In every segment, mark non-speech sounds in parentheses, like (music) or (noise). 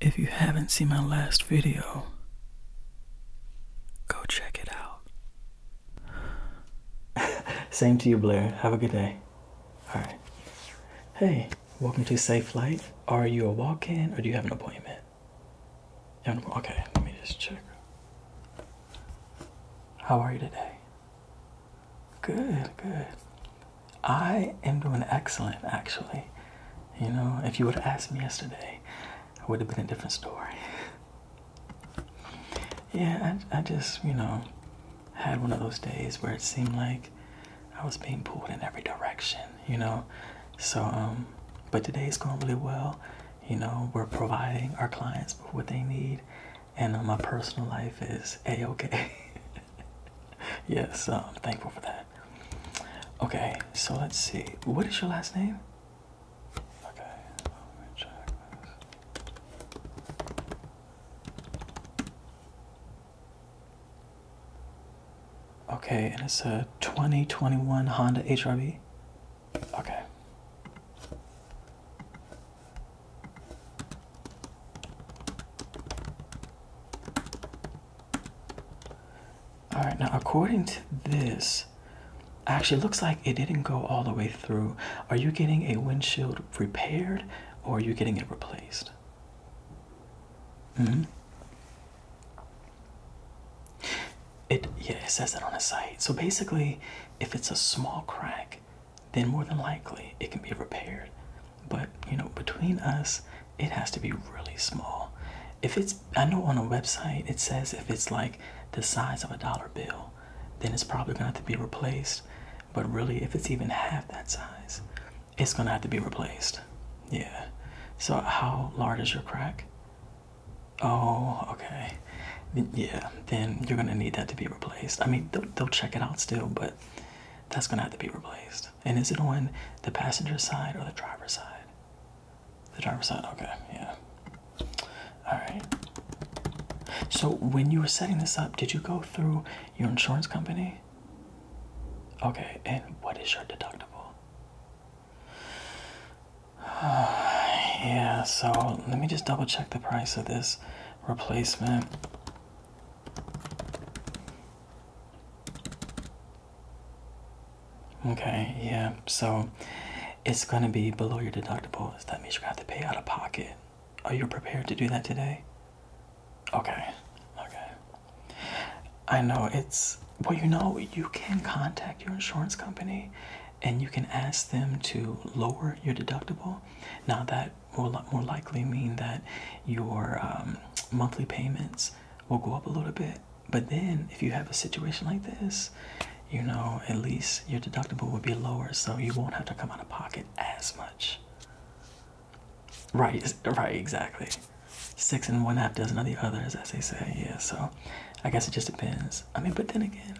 If you haven't seen my last video, go check it out. (laughs) Same to you, Blair. Have a good day. All right. Hey, welcome to Safe Flight. Are you a walk in or do you have an appointment? And okay, let me just check. How are you today? Good, good. I am doing excellent, actually. You know, if you would have asked me yesterday, it would have been a different story. yeah, I, I just, you know, had one of those days where it seemed like I was being pulled in every direction, you know? So, um, but today is going really well you know we're providing our clients with what they need and uh, my personal life is a-okay (laughs) yes i'm thankful for that okay so let's see what is your last name okay let me check this. Okay, and it's a 2021 Honda HRV. Okay. All right, now according to this, actually looks like it didn't go all the way through. Are you getting a windshield repaired or are you getting it replaced? -hmm. It yeah, it says that on the site. So basically, if it's a small crack, then more than likely it can be repaired. But you know, between us, it has to be really small. If it's I know on a website it says if it's like the size of a dollar bill, then it's probably gonna have to be replaced. But really if it's even half that size, it's gonna have to be replaced. Yeah. So how large is your crack? Oh, okay. Yeah, then you're gonna need that to be replaced. I mean, they'll, they'll check it out still, but that's gonna have to be replaced. And is it on the passenger side or the driver's side? The driver's side, okay, yeah. Alright. So, when you were setting this up, did you go through your insurance company? Okay, and what is your deductible? (sighs) yeah, so let me just double check the price of this replacement. Okay, yeah, so it's gonna be below your deductible. deductibles. That means you're gonna have to pay out of pocket. Are you prepared to do that today? Okay, okay. I know it's well, you know, you can contact your insurance company and you can ask them to lower your deductible. Now, that will more likely mean that your um, monthly payments will go up a little bit. But then, if you have a situation like this, you know, at least your deductible will be lower, so you won't have to come out of pocket as much. Right, right, exactly six and one half dozen of the others, as they say. Yeah, so I guess it just depends. I mean, but then again,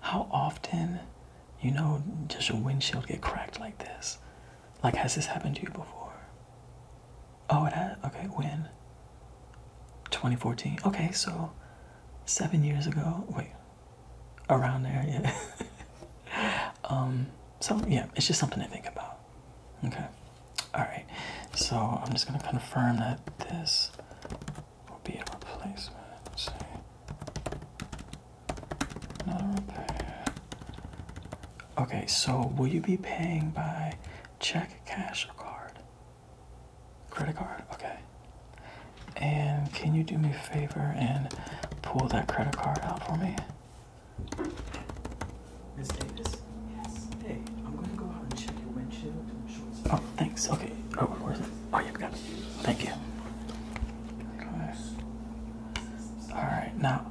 how often, you know, does your windshield get cracked like this? Like, has this happened to you before? Oh, it had. Okay, when? 2014. Okay, so seven years ago. Wait, around there, yeah. (laughs) um. So yeah, it's just something to think about. Okay. Alright. So I'm just gonna confirm that this will be a replacement. Not a repair. Okay, so will you be paying by check, cash, or card? Credit card, okay. And can you do me a favor and pull that credit card out for me? Miss Davis? Yes. Hey, I'm gonna go out and check your windshield and shorts. Oh, thanks. Okay. Oh, where's it? Oh, you've got it. Thank you. All right. Now,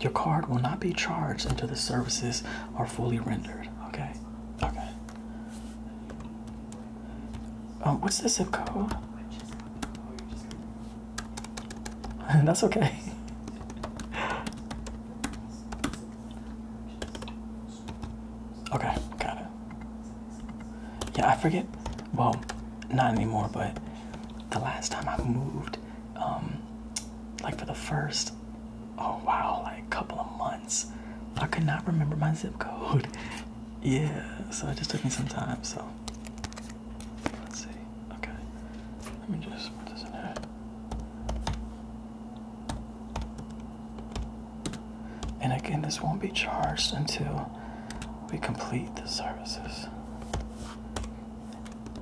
your card will not be charged until the services are fully rendered. Okay. Okay. Oh, what's this zip code? (laughs) That's okay. Okay, got it. Yeah, I forget. Well, not anymore, but the last time I moved, um, like for the first, oh wow, like a couple of months, I could not remember my zip code. (laughs) Yeah, so it just took me some time. So let's see. Okay, let me just put this in here. And again, this won't be charged until we complete the services.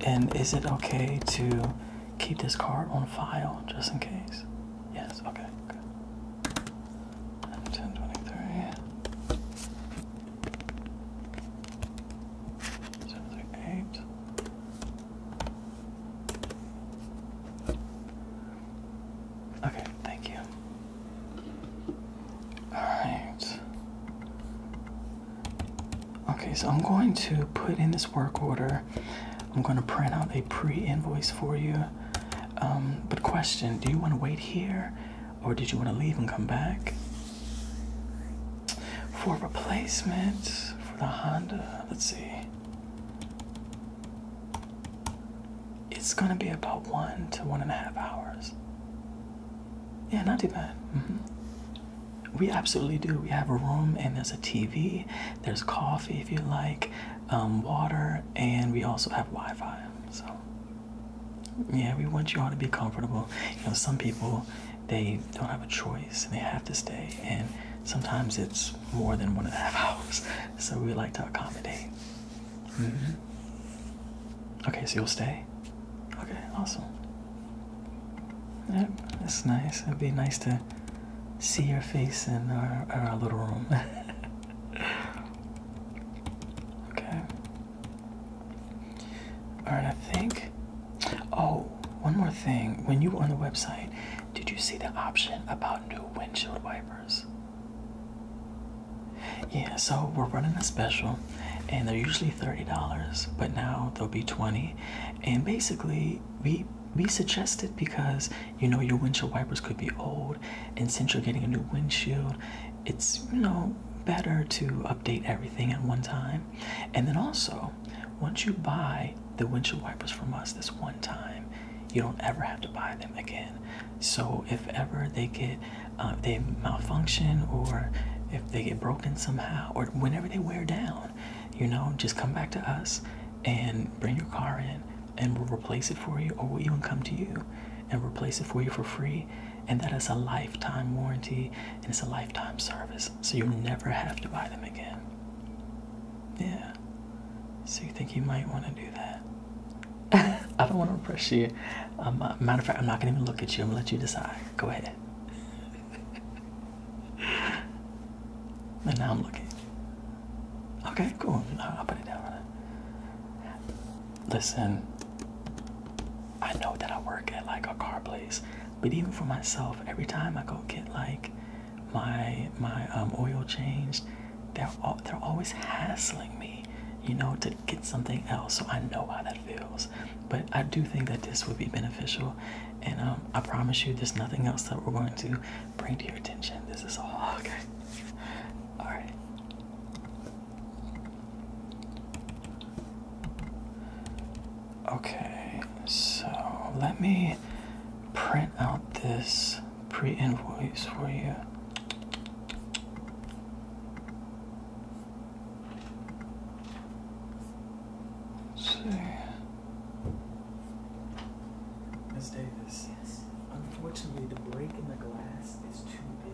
And is it okay to keep this card on file just in case? Yes, okay, 1023. 738. Okay, thank you. Alright. Okay, so I'm going to put in this work order. I'm going to print out a pre invoice for you. Um, but, question do you want to wait here or did you want to leave and come back? for replacement for the Honda. Let's see. It's gonna be about one to one and a half hours. Yeah, not too bad. Mm-hmm. We absolutely do. We have a room and there's a TV, there's coffee if you like, um, water, and we also have Wi Fi. So, yeah, we want you all to be comfortable. You know, some people they don't have a choice and they have to stay. And sometimes it's more than one and a half (laughs) hours. So we like to accommodate. Mm-hmm. Okay, so you'll stay? Okay, awesome. Yep, that's nice. It'd be nice to see your face in our, our little room. (laughs) okay. Alright, I think. Oh, one more thing. When you were on the website, did you see the option about new windshield wipers? Yeah, so we're running a special and they're usually $30, but now they'll be 20 And basically, we we suggest because you know your windshield wipers could be old and since you're getting a new windshield, it's you know better to update everything at one time. And then also, once you buy the windshield wipers from us this one time, you don't ever have to buy them again. So if ever they get uh, they malfunction or if they get broken somehow or whenever they wear down, you know, just come back to us and bring your car in and we'll replace it for you or we'll even come to you and replace it for you for free and that is a lifetime warranty and it's a lifetime service. So you never have to buy them again. Yeah. So you think you might want to do that? (laughs) I don't want to press you. Um, uh, matter of fact, I'm not gonna even look at you. I'm gonna let you decide. Go ahead. and (laughs) now I'm looking. Okay, cool. I'll put it down. Listen, I know that I work at like a car place, but even for myself, every time I go get like my my um, oil changed, they're all, they're always hassling me, you know, to get something else. So I know how that feels. But I do think that this would be beneficial, and um, I promise you, there's nothing else that we're going to bring to your attention. This is all (laughs) okay. All right. Okay, so let me print out this pre invoice for you. Let's Davis, yes. unfortunately, the break in the glass is too big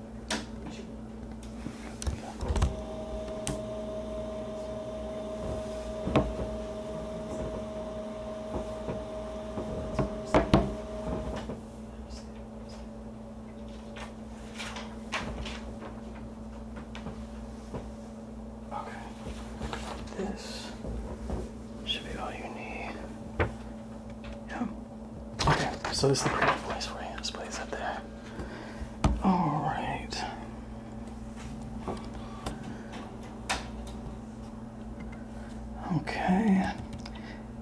Okay. so this is the perfect place for you. This place up there. All right. Okay.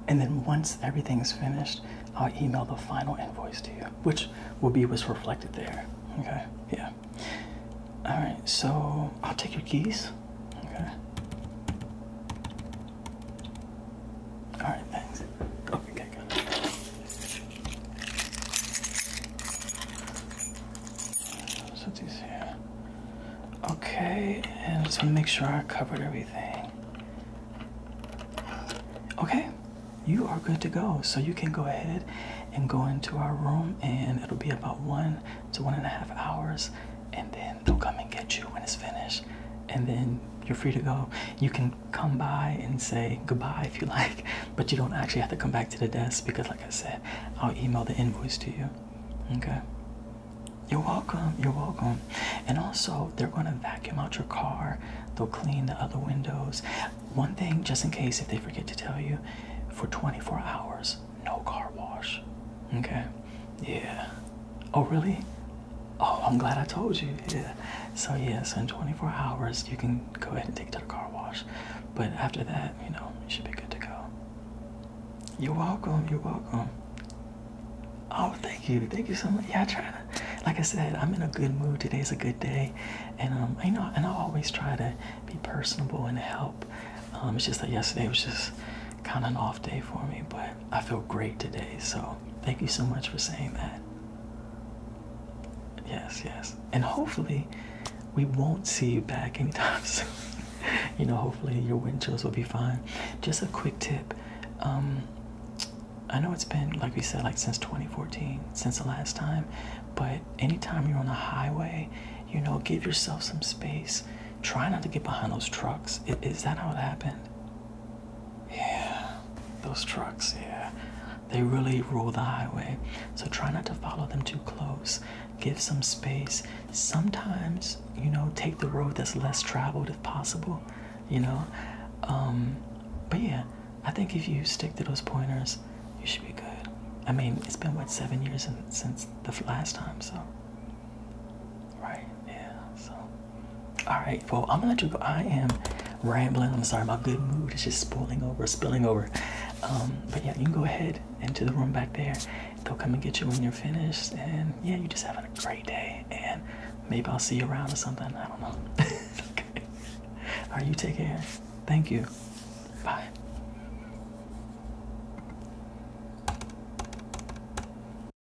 And then once everything's finished, I'll email the final invoice to you, which will be what's reflected there. Okay, yeah. All right, so I'll take your keys. Okay. All right, thanks. Okay, So let here. Okay, and just to make sure I covered everything. Okay, you are good to go. So you can go ahead and go into our room, and it'll be about one to one and a half hours, and then they'll come and get you when it's finished and then you're free to go. You can come by and say goodbye if you (laughs) like, but you don't actually have to come back to the desk because, like I said, I'll email the invoice to you. Okay. You're welcome. You're welcome. And also, they're going to vacuum out your car. They'll clean the other windows. One thing, just in case if they forget to tell you, for 24 hours, no car wash. Okay. Yeah. Oh, really? Oh, I'm glad I told you. Yeah. So, yes, in 24 hours, you can go ahead and take it to the car wash. But after that, you know, you should be good to go. You're welcome. You're welcome. Oh, thank you. Thank you so much. Yeah, I try to, like I said, I'm in a good mood. Today's a good day. And, um, I know, and I always try to be personable and help. Um, it's just that yesterday was just kind of an off day for me, but I feel great today. So thank you so much for saying that. Yes, yes. And hopefully we won't see you back anytime (laughs) soon. you know, hopefully your wind chills will be fine. Just a quick tip. Um, I know it's been, like we said, like since 2014, since the last time, but anytime you're on the highway, you know, give yourself some space. Try not to get behind those trucks. Is that how it happened? Yeah, those trucks, yeah. They really rule the highway. So try not to follow them too close. Give some space. Sometimes, you know, take the road that's less traveled if possible, you know. Um, but yeah, I think if you stick to those pointers, you should be good. I mean, it's been what seven years since the last time, so Right? Yeah. So, all right. Well, I'm gonna let you go. I am rambling. I'm sorry. My good mood is just spilling over, spilling over. Um, but yeah, you can go ahead into the room back there. They'll come and get you when you're finished. And yeah, you are just having a great day. And maybe I'll see you around or something. I don't know. (laughs) okay. All right. You take care. Thank you. Bye.